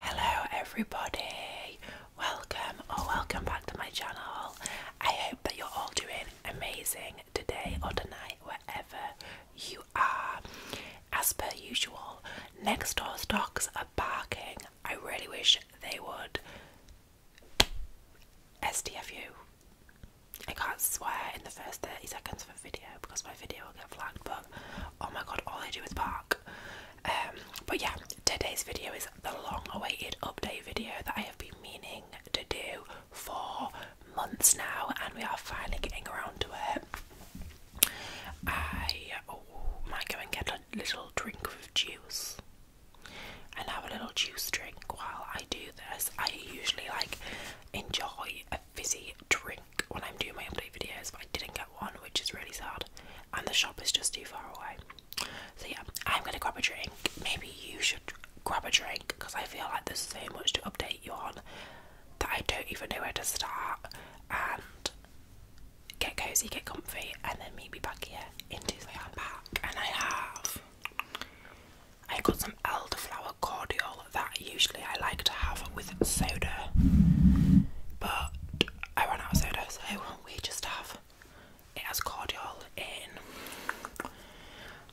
Hello, everybody! Welcome or welcome back to my channel. I hope that you're all doing amazing today or tonight, wherever you are. As per usual, next door's dogs are barking. I really wish they would. STFU. I can't swear in the first 30 seconds of a video because my video will get flagged, but oh my god, all they do is bark. Um, but yeah, today's video is the long-awaited update video that I have been meaning to do for months now, and we are finally getting around to it. I oh, might go and get a little drink of juice and have a little juice drink while I do this. I usually like enjoy a fizzy drink when I'm doing my update videos, I didn't get one, which is really sad. And the shop is just too far away. So yeah, I'm gonna grab a drink. Maybe you should grab a drink because I feel like there's so much to update you on that I don't even know where to start. And get cozy, get comfy, and then maybe back here into my seconds. back, and I have. I got some elderflower cordial that usually I like to have with soda, but I ran outside. I we just have it as cordial in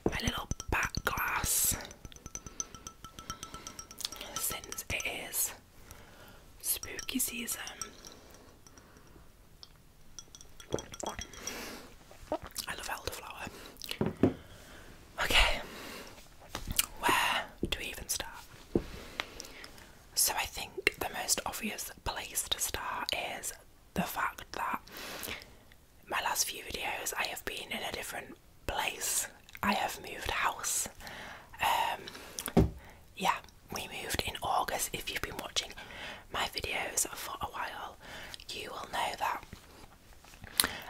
my little back glass? Since it is spooky season, I love elderflower. Okay, where do we even start? So, I think the most obvious place to start is the fact that my last few videos I have been in a different place. I have moved house. Um, yeah, we moved in August. If you've been watching my videos for a while, you will know that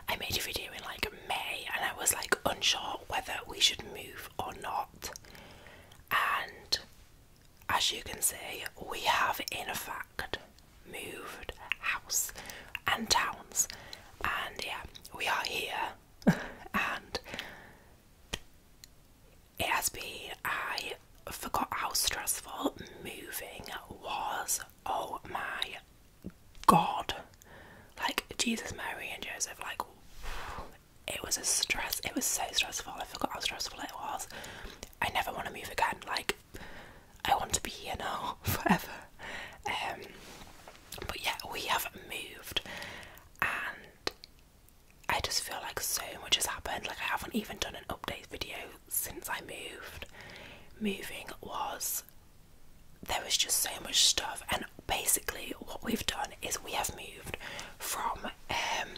I made a video in like May and I was like unsure whether we should move or not. And as you can see, we have in fact moved house and towns, and yeah, we are here. and it has been, I forgot how stressful moving was. Oh my God, like Jesus, Mary, and Joseph. Like, it was a stress, it was so stressful. I forgot how stressful it was. I never want to move again. Like, I want to be here now forever. Um, but yeah, we have moved, and I just feel like so much has happened. Like, I haven't even done an update video since I moved. Moving was because there was just so much stuff. And basically, what we've done is we have moved from um,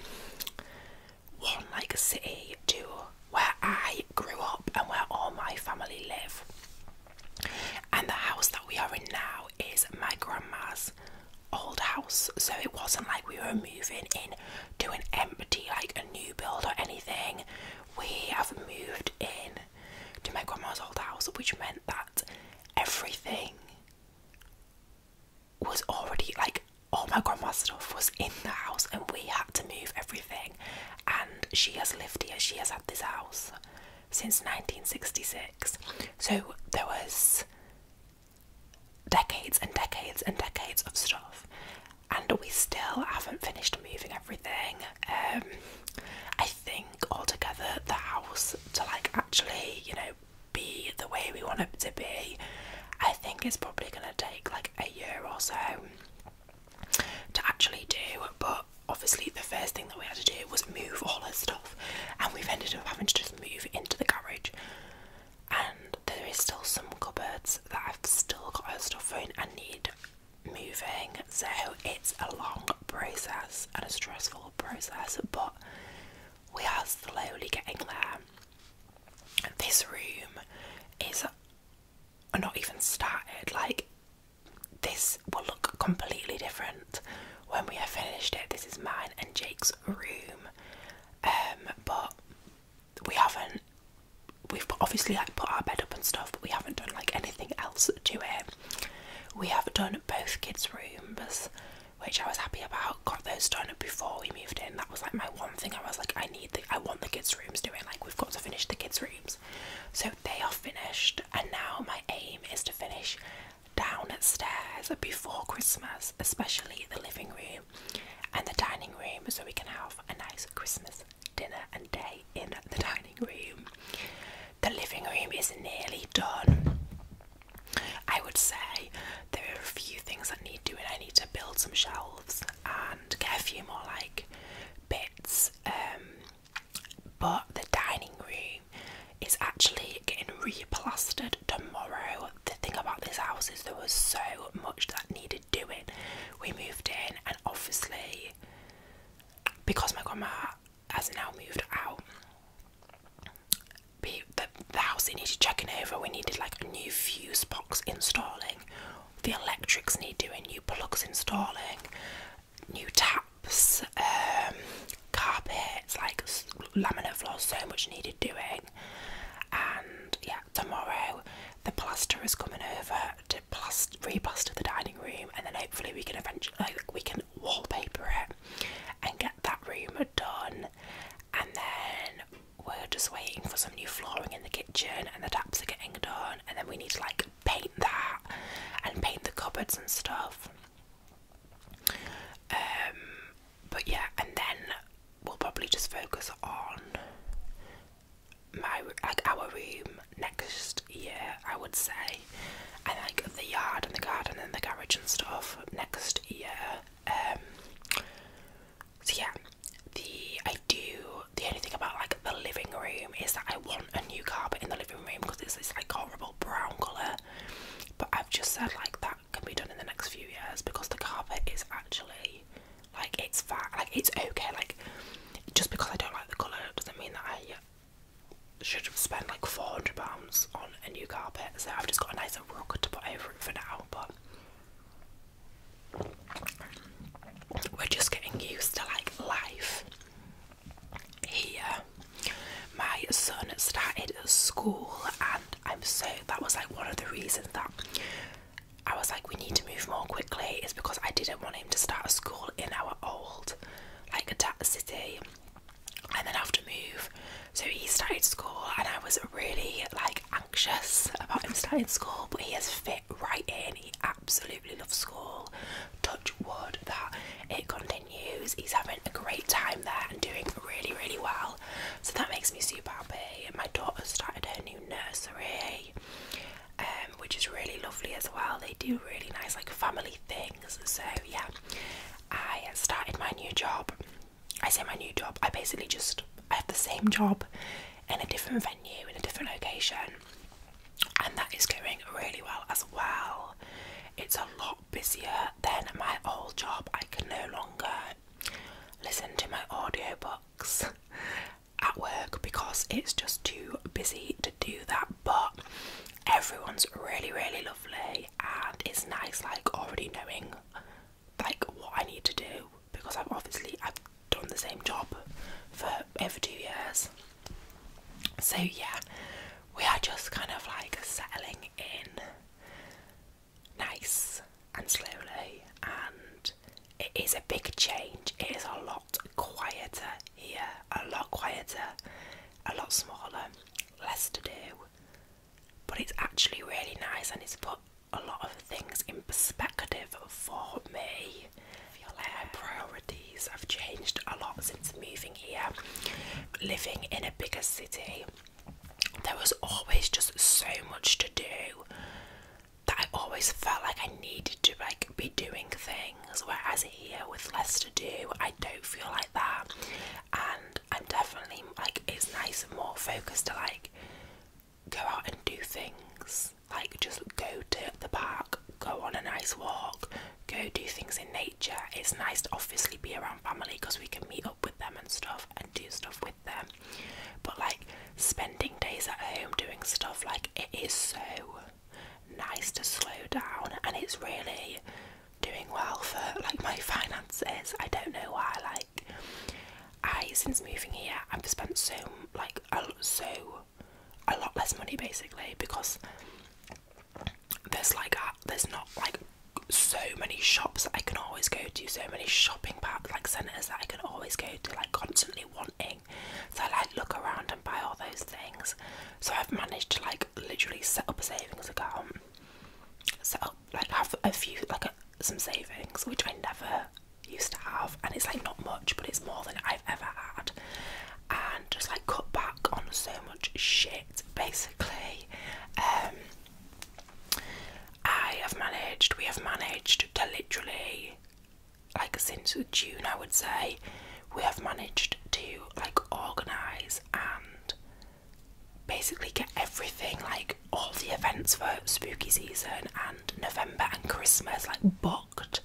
one like a city to where I grew up and where all my family live. And the house that we are in now is my grandma's old house, so it wasn't like we were moving in to an empty, like a new build or anything. We have moved in to my grandma's old house, which meant that everything was already like all my grandma's stuff was in the house, and we had to move everything. And she has lived here, she has had this house since 1966. So there was decades and decades and decades of stuff and we still haven't finished moving everything um i think altogether the house to like actually, you know, be the way we want it to be, I think it's probably gonna take like a year or so to actually do. But obviously, the first thing that we had to do was move all our stuff, and we've ended up having to just move into the garage. And there is still some cupboards that I've still got her stuff in and need moving, so it's a long process and a stressful process, but we are slowly getting there. This room is not even started, like, this will look completely different when we have finished it. This is mine and Jake's room, um, but we haven't. We've obviously like put our bed up and stuff, but we haven't done like anything else to it. We have done both kids' rooms, which I was happy about. Got those done before we moved in. That was like my one thing. I was like, I need the, I want the kids' rooms doing. Like we've got to finish the kids' rooms. So they are finished, and now my aim is to finish downstairs before Christmas, especially the living room and the dining room, so we can have a nice Christmas dinner and day in the dining room. The living room is nearly done. I would say there are a few things I need doing. I need to build some shelves and get a few more like bits. Um, but the dining room is actually getting re-plastered tomorrow. The thing about this house is there was so much that needed doing. We moved in, and obviously, because my grandma has now moved out, the, house they needed checking over. We needed like a new fuse box installing. The electrics need doing, new plugs installing, new taps, um, carpets, like laminate floors. So much needed doing. And yeah, tomorrow the plaster is coming over to re-plaster the dining room, and then hopefully we can eventually we can wallpaper it and get that room done. And then we're just waiting for some new flooring in the kitchen, and the taps are getting done, and then we need to like paint that and paint the cupboards and stuff. Um, but yeah, and then we'll probably just focus on my like our room next year I would say and like the yard and the garden and the garage and stuff next year um so yeah the I do the only thing about like the living room is that I want a new carpet in the living room because it's this like horrible brown colour but I've just said like that can be done in the next few years because the carpet is actually like it's fat, Like it's okay. Like just because I don't like the colour doesn't mean that I should have spent like four hundred pounds on a new carpet. So I've just got a nicer rug to put over it for now. But we're just getting used to like life here. My son started school, and I'm so that was like one of the reasons that I was like, we need to move more quickly, is because I didn't want him to start a school in our old, like, a city and then have to move. So he started school, and I was really like anxious about him starting school, but he has fit right in. He absolutely loves school. Touch wood that it continues. He's having a great time there and doing really, really well. So that makes me super happy. My daughter started her new nursery. Um, which is really lovely as well. They do really nice like family things. So yeah, I started my new job. I say my new job. I basically just I have the same job in a different venue in a different location, and that is going really well as well. It's a lot busier than my old job. I can no longer listen to my audiobooks at work because it's just too busy to do that. But everyone's really, really lovely, and it's nice like already knowing like what I need to do because I've obviously I've done the same job for over two years. So yeah, we are just kind of like settling in nice and slowly and it is a big change. It is a lot quieter here, a lot quieter, a lot smaller, less to do. But it's actually really nice and it's put a lot of things in perspective for me. I my priorities have changed a lot since moving here. Living in a bigger city, there was always just so much to do that I always felt like I needed to like be doing things, whereas here with less to do, I don't feel like that. And I'm definitely like it's nice and more focused to like go out and do things, like just go to the park, go on a nice walk, go do things in nature. It's nice to obviously be around family because we can meet up with them and stuff and do stuff with them. But like spending days at home doing stuff, like it is so nice to slow down and it's really doing well for like my finances. I don't know why, like I since moving here I've spent so like a, so a lot less money basically because there's like uh, there's not like so many shops I can always go to, so many shopping park like centres that I can always go to like constantly wanting. So I like look around and buy all those things. So I've managed to like literally set up a savings account, set up like have a few like some savings which I never used to have, and it's like not much, but it's more than I've ever had. And just like cut back on so much shit, basically. Um, I have managed, we have managed to literally like since June, I would say, we have managed to like organize and basically get everything like all the events for spooky season and November and Christmas like booked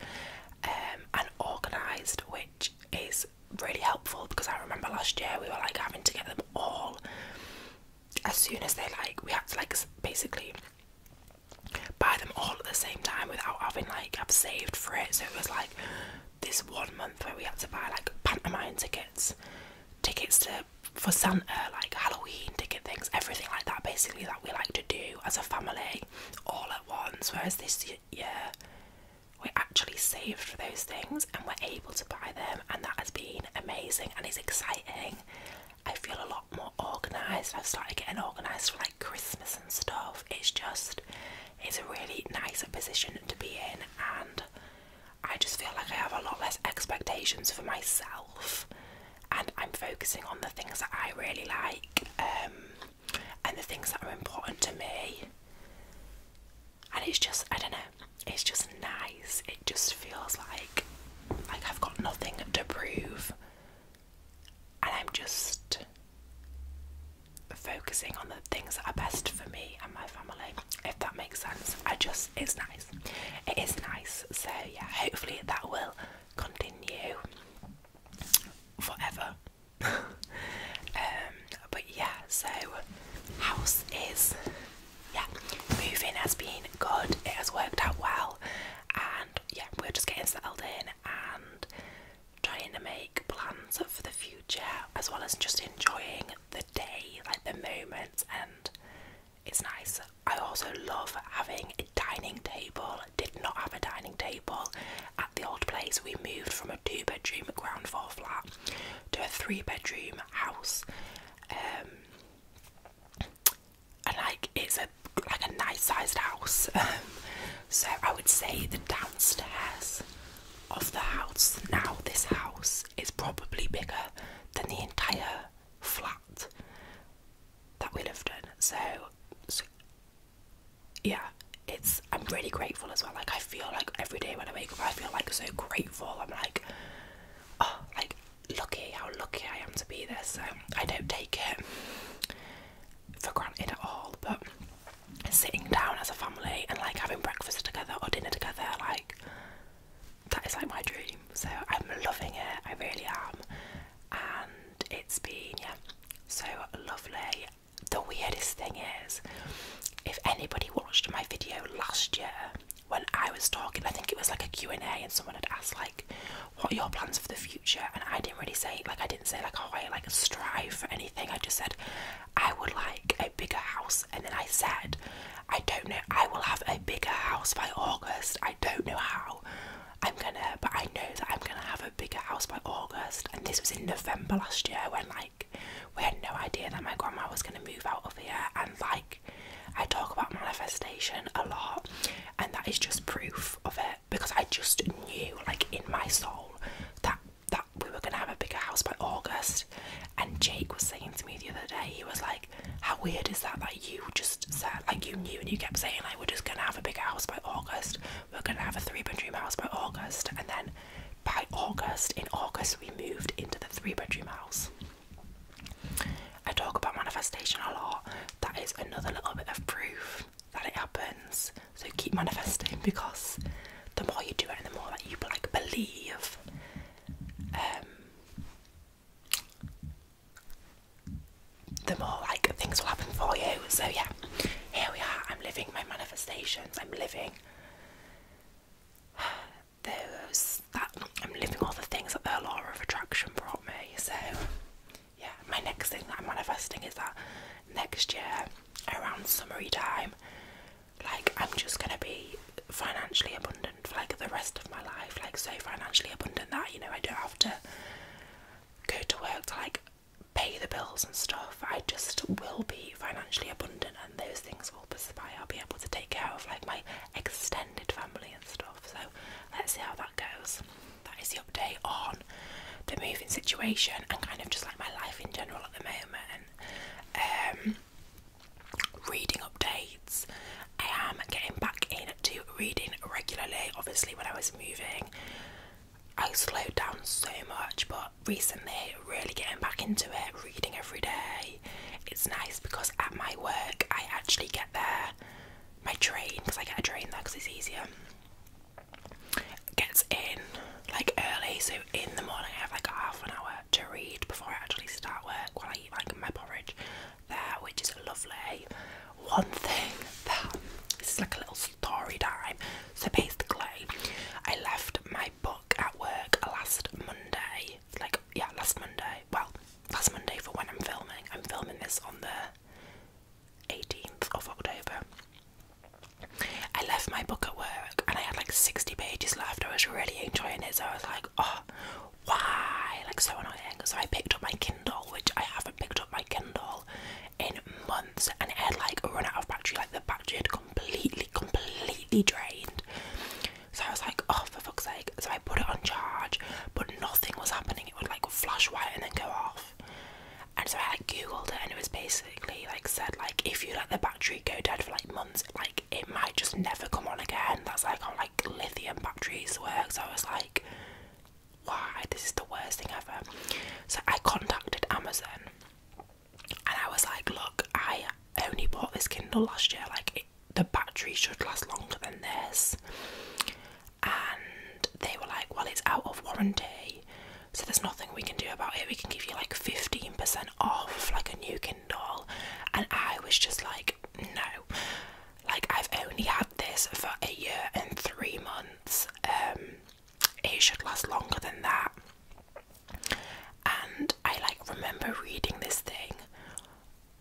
um, and organized, which is really helpful because I remember last year we were like having to get them all as soon as they like we had to like basically buy them all at the same time without having like I've saved for it. So it was like this one month where we had to buy like pantomime tickets, tickets to for Santa, like Halloween ticket things, everything like that basically that we like to do as a family all at once. Whereas this year we actually saved for those things and we're able to buy them and that has been amazing and it's exciting I feel a lot more organised. I've started getting organised for like Christmas and stuff. It's just, it's a really nice position to be in, and I just feel like I have a lot less expectations for myself, and I'm focusing on the things that I really like um, and the things that are important to me. And it's just, I don't know, it's just nice. It just feels like like, I've got nothing to prove, and I'm just focusing on the things that are best for me and my family, if that makes sense. I just, it's nice. It is nice. So, yeah, hopefully that will continue forever. um, but yeah, so house is yeah, moving has been good, it has worked out well, and yeah, we're just getting settled in and trying to make plans for the future as well as just enjoying the day, like the moment. and it's nice. I also love having a dining table. I did not have a dining table at the old place. We moved from a two bedroom ground floor flat to a three bedroom house. Um, and like it's a like a nice sized house. Um, so I would say the downstairs of the house now this house is probably bigger than the entire flat that we lived in. so yeah, it's I'm really grateful as well. Like I feel like every day when I wake up I feel like so grateful. I'm like oh like lucky how lucky I am to be there, so I don't take it for granted at all. But sitting down as a family and like having breakfast together or dinner together, like that is like my dream. So I'm loving it, I really am. And it's been, yeah, so lovely. The weirdest thing is, if anybody watched my video last year, when I was talking, I think it was like a Q&A and someone had asked like, what are your plans for the future? And I didn't really say, like I didn't say like, oh like strive for anything. I just said, I would like a bigger house. And then I said, I don't know, I will have a bigger house by August. I don't know how I'm gonna, but I know that I'm gonna have a bigger house by August. And this was in November last year when like, we had no idea that my grandma was gonna move out of here and like, I talk about manifestation a lot, and that is just proof of it because I just knew, like in my soul, that that we were gonna have a bigger house by August. And Jake was saying to me the other day, he was like, "How weird is that? that you just said, like you knew, and you kept saying like we're just gonna have a bigger house by August. We're gonna have a three-bedroom house by August, and then." By August, in August, we moved into the three bedroom house. I talk about manifestation a lot. That is another little bit of proof that it happens. So keep manifesting because the more you do it and the more that you like believe, um, the more like things will happen for you. So yeah, here we are. I'm living my manifestations. I'm living those that I'm living all the things that the law of attraction brought me. So yeah, my next thing that I'm manifesting is that next year around summery time, like I'm just gonna be financially abundant for like the rest of my life. Like so financially abundant that, you know, I don't have to go to work to like pay the bills and stuff. I just will be financially abundant and those things possible by I'll be able to take care of like my extended family and stuff. So let's see how that goes. That is the update on the moving situation and kind of just like my life in general at the moment. Um, reading updates. I am getting back into reading regularly. Obviously, when I was moving, I slowed down so much, but recently, really getting back into it, reading every day. It's nice because at my work I actually get there, my train, because I get a train there because it's easier, gets in like early. So in the morning I have like half an hour to read before I actually start work while I eat like my porridge there, which is lovely. One thing that this is like a little story time. So basically, I left my book at work last Monday like yeah, last Monday. Well, last Monday for when I'm filming. I'm filming this on the 18th of October. I left my book at work and I had like 60 pages left. I was really enjoying it, so I was like, oh, why? Like, so annoying. So I picked up my Kindle, which I haven't picked up my Kindle in months, and it had like run out of battery, like the battery had completely, completely drained. So I was like, oh, for fuck's sake. So I put it on charge, but nothing was happening. It would like flash white and then go off. And so I like googled it, and it was basically like said like if you let the battery go dead for like months, like it might just never come on again. That's like how like lithium batteries work. So I was like, why? This is the worst thing ever. So I contacted Amazon, and I was like, look, I only bought this Kindle last year, like the battery should last longer than this. And they were like, well, it's out of warranty, so there's nothing we can do about it. We can give you like 15% off, like a new Kindle. And I was just like, no, like I've only had this for a year and three months. Um, it should last longer than that and I like remember reading this thing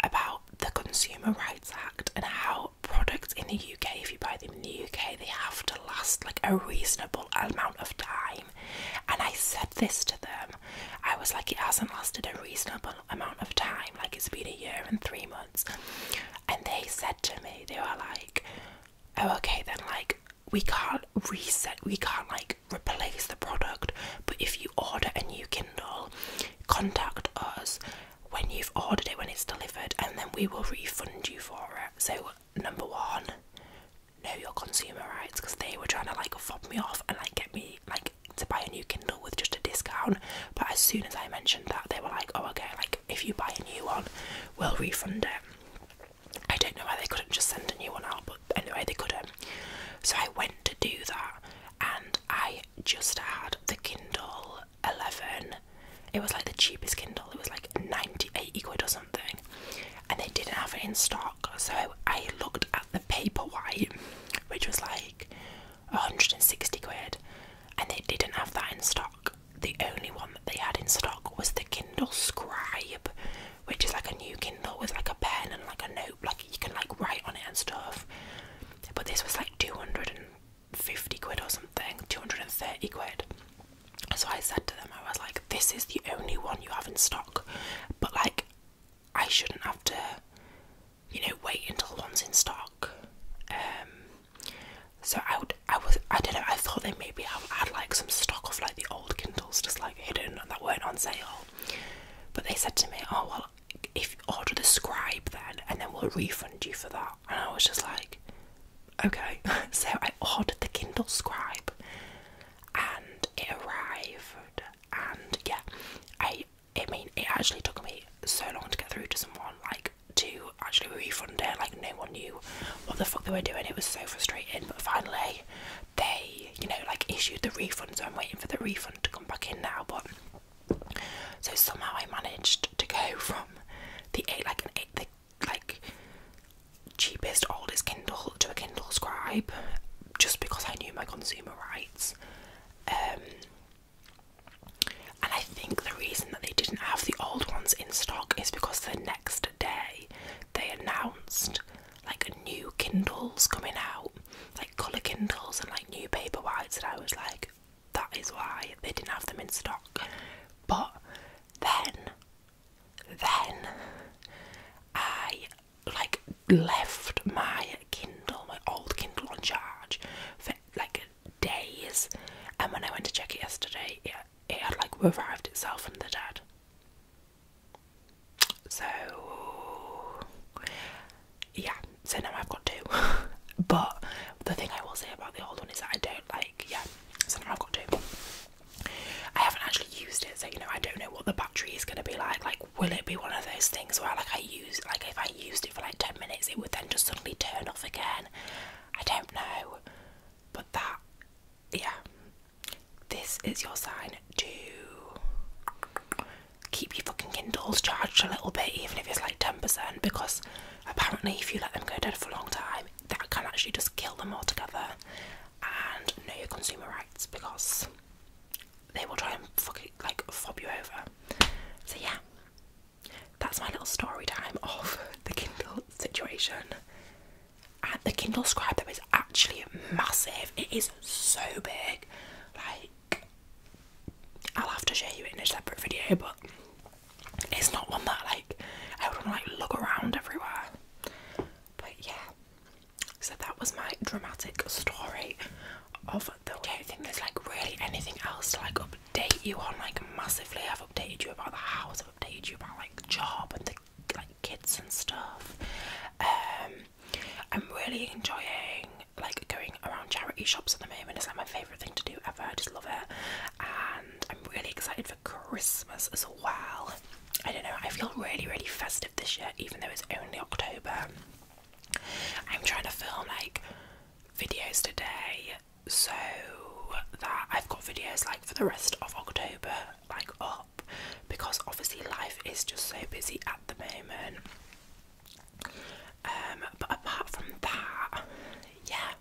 about the Consumer Rights Act and how products in the UK, if you buy them in the UK, they have to last like a reasonable amount of time. And I said this to them. I was like, it hasn't lasted a reasonable amount of time, like it's been a year and three months. And they said to me, they were like, oh, okay, then, like, we can't reset we can't like replace the product but if you order a new kindle contact us when you've ordered it when it's delivered and then we will refund you for it so number one know your consumer rights because they were trying to like fob me off and like get me like to buy a new kindle with just a discount but as soon as i mentioned that they were like oh okay like if you buy a new one we'll refund it I don't know why they couldn't just send a new one out, but anyway, they couldn't. So I went to do that, and I just had the Kindle 11. It was like the cheapest Kindle, it was like ninety eight quid or something, and they didn't have it in stock. So I looked at the Paperwhite, which was like 160 quid, and they didn't have that in stock. The only one that they had in stock was the Kindle Scribe, which is like a new Kindle with like a pen and like a note, like you can like write on it and stuff. But this was like 250 quid or something, 230 quid. So I said to them, I was like, this is the only one you have in stock, but like I shouldn't have to, you know, wait until one's in stock. Um, so I would, I was, I don't know, I thought they maybe had like some stock of like the old old Kindles just like hidden that weren't on sale. But they said to me, "Oh well, if order the Scribe then, and then we'll refund you for that." And I was just like, "Okay." so I ordered the Kindle Scribe, and it arrived. And yeah, I I mean it actually took me so long to get through to someone like to actually refund it. Like no one knew what the fuck they were doing. It was so frustrating. But finally, they, you know, like issued the refund, so I'm waiting for the refund to come back in now. But so somehow I managed to go from the like an like cheapest, oldest Kindle to a Kindle Scribe, just because I knew my consumer rights. Um, and I think the reason that they didn't have the old ones in stock is because the next day they announced like new Kindles coming out, like colour Kindles and like new paper whites, and I was like, that is why they didn't have them in stock. But then, then I like left my Kindle, my old Kindle on charge for like days, and when I went to check it yesterday, it, it had like revived itself from the dead. So yeah, so now I've got two. but the thing I will say about the old one is that I don't like yeah, so now I've got two. I haven't actually used it, so you know I don't know what the battery is gonna be like. Like will it be one of those things where like I use like if I used it for like ten minutes it would then just suddenly turn off again? I don't know. But that yeah, this is your sign to keep your fucking Kindles charged a little bit, even if it's like 10%, because apparently, if you let them go dead for a long time, that can actually just kill them altogether. And know your consumer rights because they will try and fucking like fob you over. So, yeah, that's my little story time of the Kindle situation and the Kindle Scribe though actually massive. It is so big. Like I'll have to show you it in a separate video, but it's not one that like I would want like look around everywhere. But yeah. So that was my dramatic story of the I don't think there's like really anything else to like update you on like massively. I've updated you about the house, I've updated you about like job and the like kids and stuff. Um, I'm really enjoying like going around charity shops at the moment. It's like my favourite thing to do ever. I just love it, and I'm really excited for Christmas as well. I don't know. I feel really, really festive this year, even though it's only October. I'm trying to film like videos today so that I've got videos like for the rest of October, like up because obviously life is just so busy at the moment. Um, but apart from that, yeah,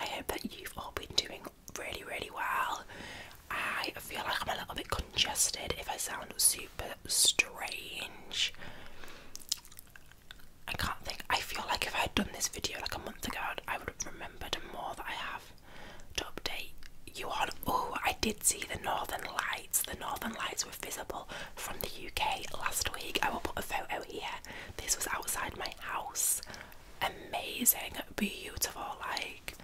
I hope that you've all been doing really, really well. I feel like I'm a little bit congested if I sound super strange. I can't think. I feel like if I had done this video like a month ago, I would have remembered more that I have to update you on. Oh, I did see the Northern Lights. The Northern Lights were visible from the UK last week. I will put a photo here. This was outside my house. Amazing, beautiful. Like,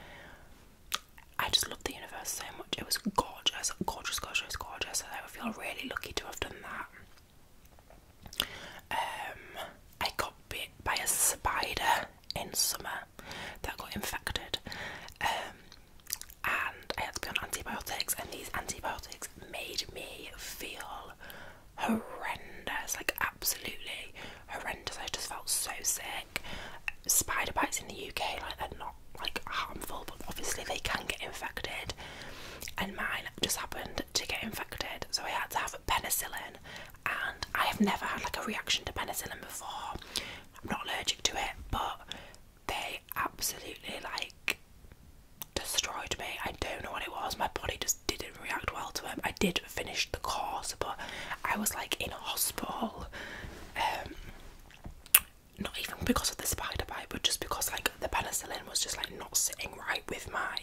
I just love the universe so much. It was gorgeous, gorgeous, gorgeous, gorgeous. I feel really lucky to have done that. Um, I got bit by a spider in summer that got infected, um, and I had to be on antibiotics. And these antibiotics made me feel horrendous, like absolutely horrendous. I just felt so sick. Spider bites in the UK, like they're not like harmful, but obviously they can get infected. And mine just happened to get infected, so I had to have penicillin, and I have never had like a reaction to penicillin before. I'm not allergic to it, but they absolutely like destroyed me. I don't know what it was. My body just didn't react well to it. I did finish the course, but I was like in hospital. Um, not even because of the spider bite, but just because like the penicillin was just like not sitting right with my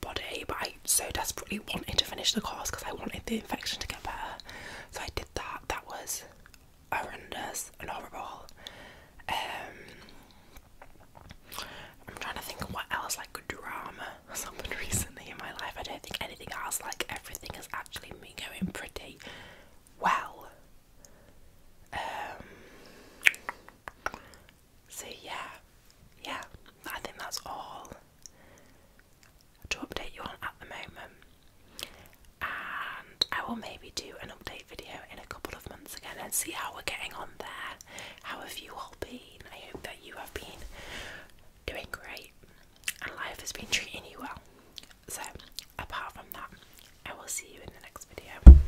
body, but I so desperately wanted to finish the course because I wanted the infection to get better. So I did that. That was horrendous and horrible. Um, I'm trying to think of what else like drama something recently in my life. I don't think anything else. Like everything is actually me going pretty well. Um, so yeah, yeah, I think that's all to update you on at the moment. And I will maybe do an update video in a couple of months again and see how we're getting on there. How have you all been? I hope that you have been doing great and life has been treating you well. So, apart from that, I will see you in the next video.